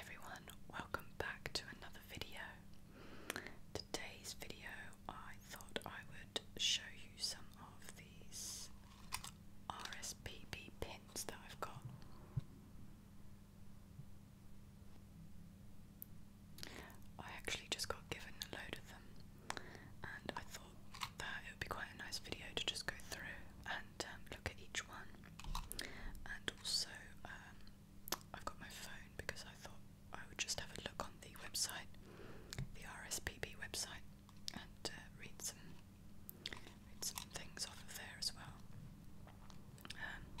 everyone, welcome back to another video. Today's video, I thought I would show you some of these RSPB pins that I've got. I actually just got given a load of them, and I thought that it would be quite a nice video to just go through and um, look at each one. And also, um, I've got my phone because I thought I would just have a look on the website, the RSPB website, and uh, read some read some things off of there as well. Um,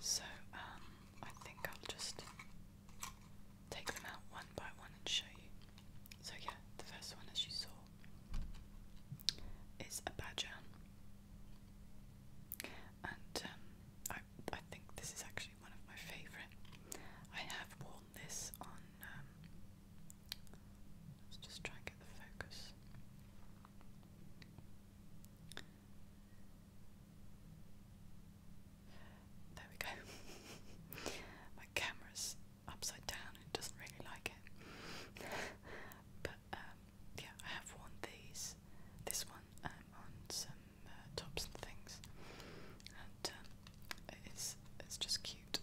so um, I think I'll just take them out one by one and show you. So, yeah, the first one, as you saw, is a badger, and um, I, I think this is actually one of my favourite. I have worn this on. Um, let's just try and get the focus. There we go. My camera's upside down, it doesn't really like it. but um, yeah, I have worn these, this one, um, on some uh, tops and things, and um, it's, it's just cute.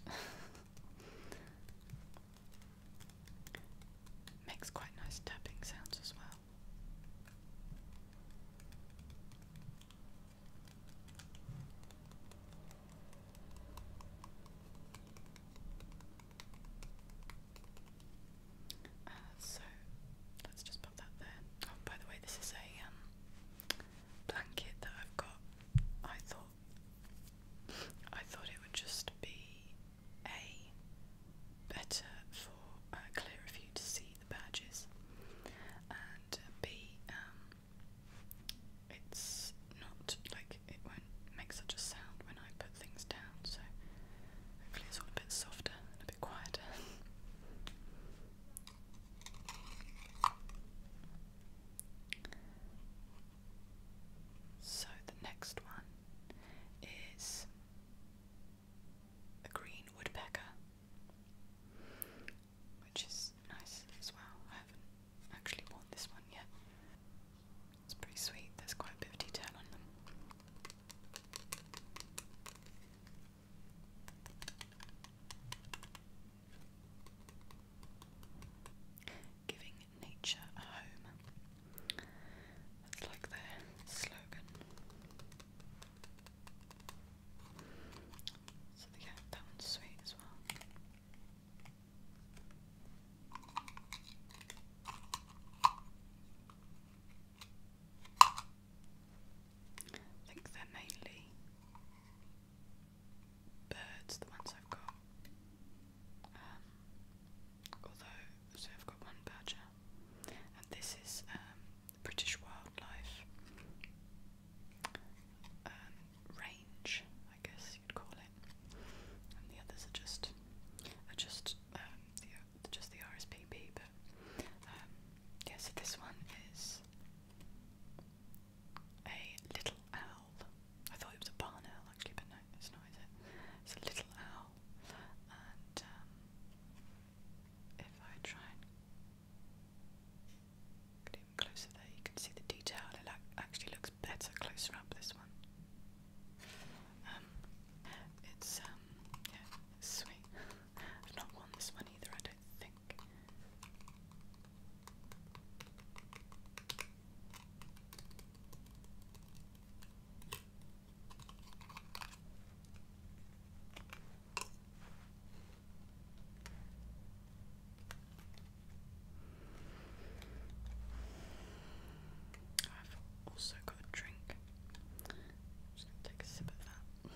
Makes quite nice tapping sounds as well. Uh, so let's just pop that there. Oh, by the way, this is a um, blanket that I've got. I thought I thought it would just be a better for a uh, clearer view to see the badges, and b it's not like it won't make such a sound when I put things down, so hopefully it's all a bit softer a bit quieter. so the next one is a green woodpecker which is nice as well. I haven't actually worn this one yet. It's pretty sweet, there's quite a bit of detail on them. Giving nature a home. That's like their slogan. So yeah, that one's sweet as well. I think they're mainly birds, the ones I've got. Um, although, so I've got one badger, and this is um, British wildlife um, range, I guess you'd call it, and the others are just are just um, the, just the RSPB. But um, yeah, so this one is a little owl. I thought it was a barn owl actually, but no, it's not. Is it? It's a little owl, and um, if I try and Get in closer there, you can see the detail. It actually looks better closer up this one. Um, it's um, yeah, it's sweet. I've not won this one either, I don't think. I've also got a drink. just gonna take a sip of that.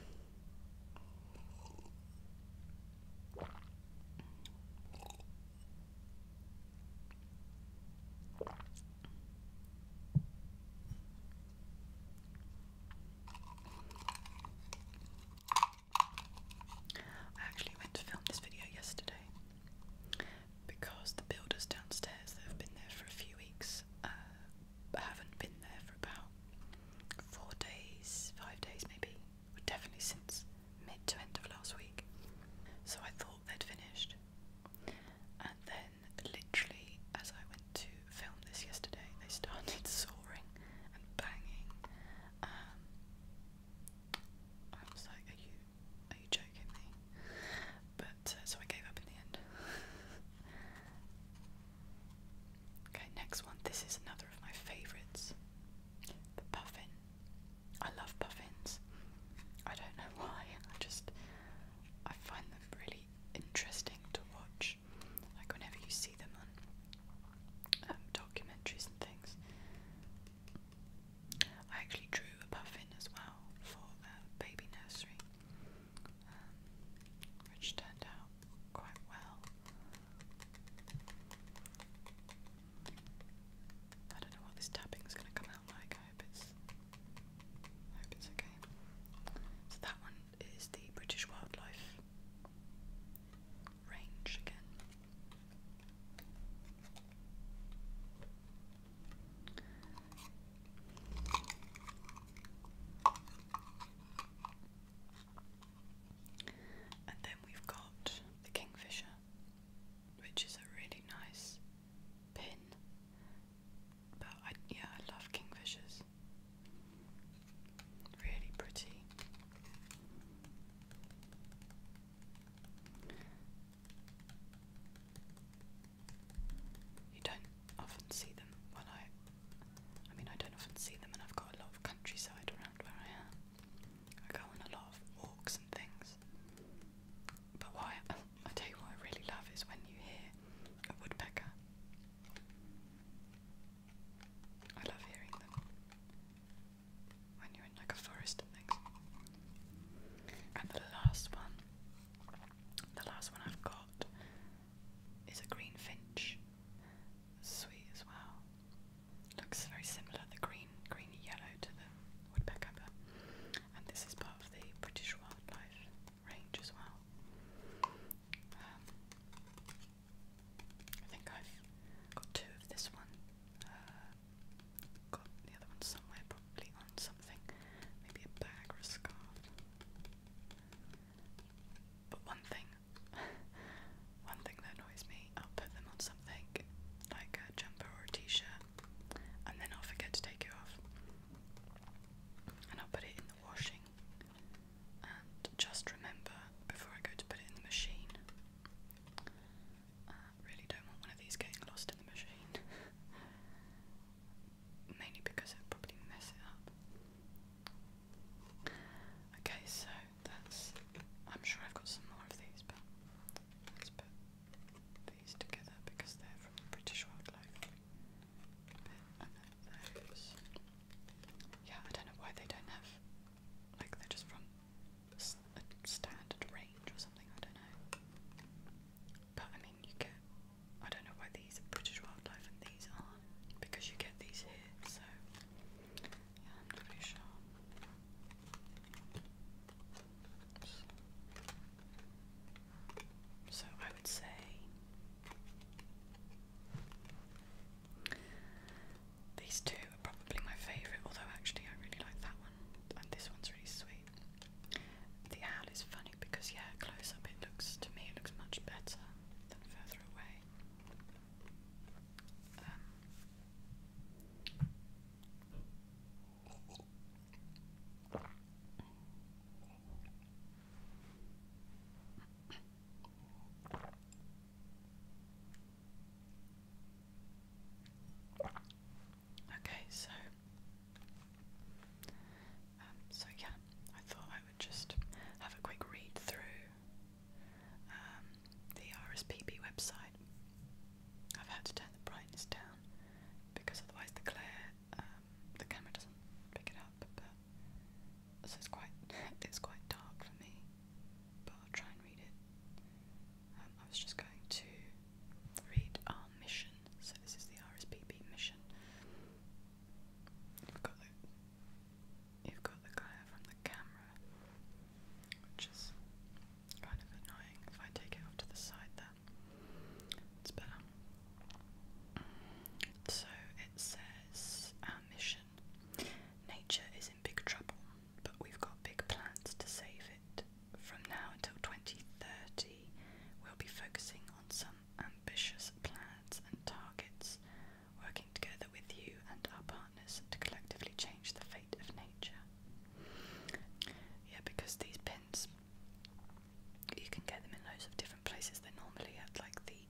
I actually went to film this video yesterday because the builders downstairs they have been there for a few weeks uh, haven't been there for about four days, five days maybe, definitely since mid to end of last week. So I thought they'd finished. And then, literally, as I went to film this yesterday, they started soaring and banging um, I was like, "Are you, are you joking me?" But uh, so I gave up in the end. okay, next one. This is another of my favourites. The puffin. I love puffins. I don't know why. I just I find them really interesting to watch. Like whenever you see see them um, documentaries and things. I actually drew a puffin as well for baby nursery, um, which turned out quite well. I don't know what this tapping is going to come out like. I hope it's, I hope it's okay. So that one is the British Wildlife range again. And then we've got the Kingfisher, which is a really nice pin. But I, yeah, I love Kingfishers. Really pretty. You don't often see them. Well, I, I mean, I don't often see them, and I've got a lot of countryside around where I am. I go on a lot of walks and things. But why I, tell you what I really love is when you hear a woodpecker. I love hearing them when you're in like a forest and the last one, the last one I've got is a green finch. Sweet as well. Looks very similar, the green, green yellow to the woodpecker, and this is part of the British wildlife range as well. Um, I think I've got two of this one. Uh, got the other one somewhere, probably on something. Maybe a bag or scarf. But one thing, one thing that annoys me, I'll put them on something like a jumper or a t-shirt, and then I'll forget to take it off, and I'll put it in the washing, and just remember before I go to put it in the machine I uh, really don't want one of these getting lost in the machine. Mainly because it probably mess up. Okay, so that's. I'm sure I've got some more of these, but let's put these together because they're from the British Wildlife. Bit Yeah, I don't know why they don't have like they're just from a standard range or something, I don't know. But I mean, you get. I don't know why these are British wildlife and these aren't, because you get these here, so. Yeah, I'm not sure. So I would say these two are probably my favourite, although actually I really like that one, and this one's really sweet. The owl is funny because, yeah, close up it looks, to me, it looks much better than further away. Um, Okay, so um, so yeah, I thought I would just have a quick read through um, the RSPB website. I've had to turn the brightness down because otherwise the glare, um, the camera doesn't pick it up. But so it's quite it's quite dark for me but I'll try and read it. Um, I was just going to read our mission, so this is the RSPB mission. You've got the, you've got the glare from the camera, which is kind of annoying. If I take it off to the side, then it's better. So it says our mission. Nature is in big trouble but we've got big plans to save it. From now until 2030, we'll be focusing on some ambitious plans and targets, working together with you and our partners to collectively change the fate of nature. Yeah, because these pins, you can get them in loads of different places. They're normally at like the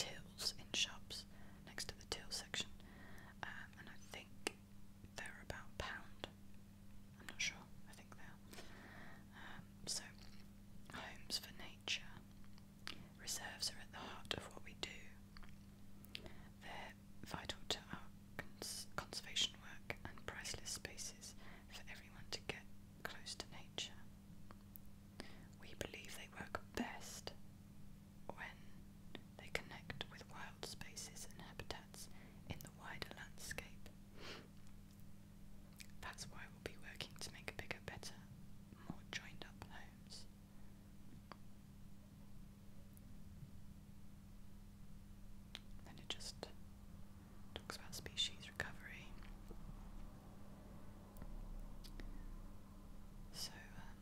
tills in shops, next to the till section. Uh, and I think they're about pound. I'm not sure. I think they are. Um, so, homes for nature. Reserves are at the heart of what we do. They're vital to our conservation work and priceless spaces for everyone to get close to nature. We believe they work best when they connect with wild spaces and habitats in the wider landscape. That's why we'll be working to make bigger, better, more joined up homes. Then it just talks about species recovery. So, um,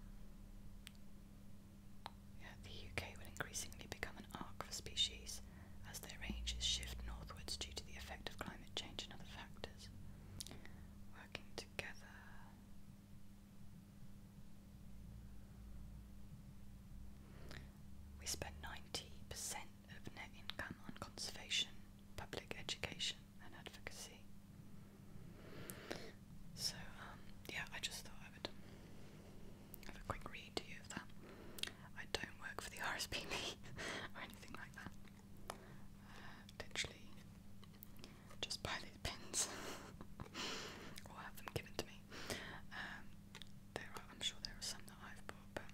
the UK will increasingly become an arc for species as their ranges shift northwards due to the effect of climate change and other factors. Working together. We spend 90% of net income on conservation, public education, and advocacy. So, um, yeah, I just thought I would have a quick read to you of that. I don't work for the RSPB or anything like that. Uh, literally, just buy these pins or have them given to me. Um, there are, I'm sure there are some that I've bought, but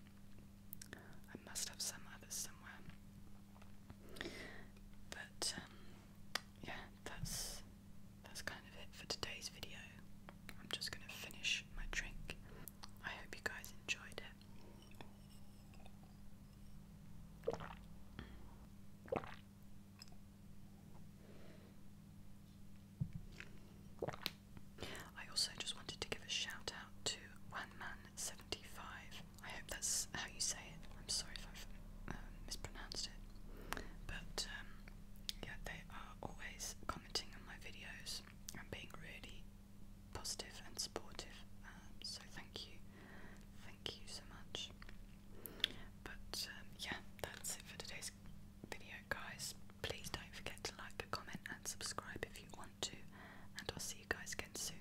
I must have some others somewhere. But um, yeah, that's that's kind of it for today's video. I'm just going to finish my drink. I hope you guys enjoyed it. I also just wanted to give a shout out to Wanman75. I hope that's how you say I'm sorry if I've um, mispronounced it, but um, yeah, they are always commenting on my videos and being really positive and supportive. Um, so thank you, thank you so much. But yeah, that's it for today's video, guys. Please don't forget to like, comment, and subscribe if you want to, and I'll see you guys again soon.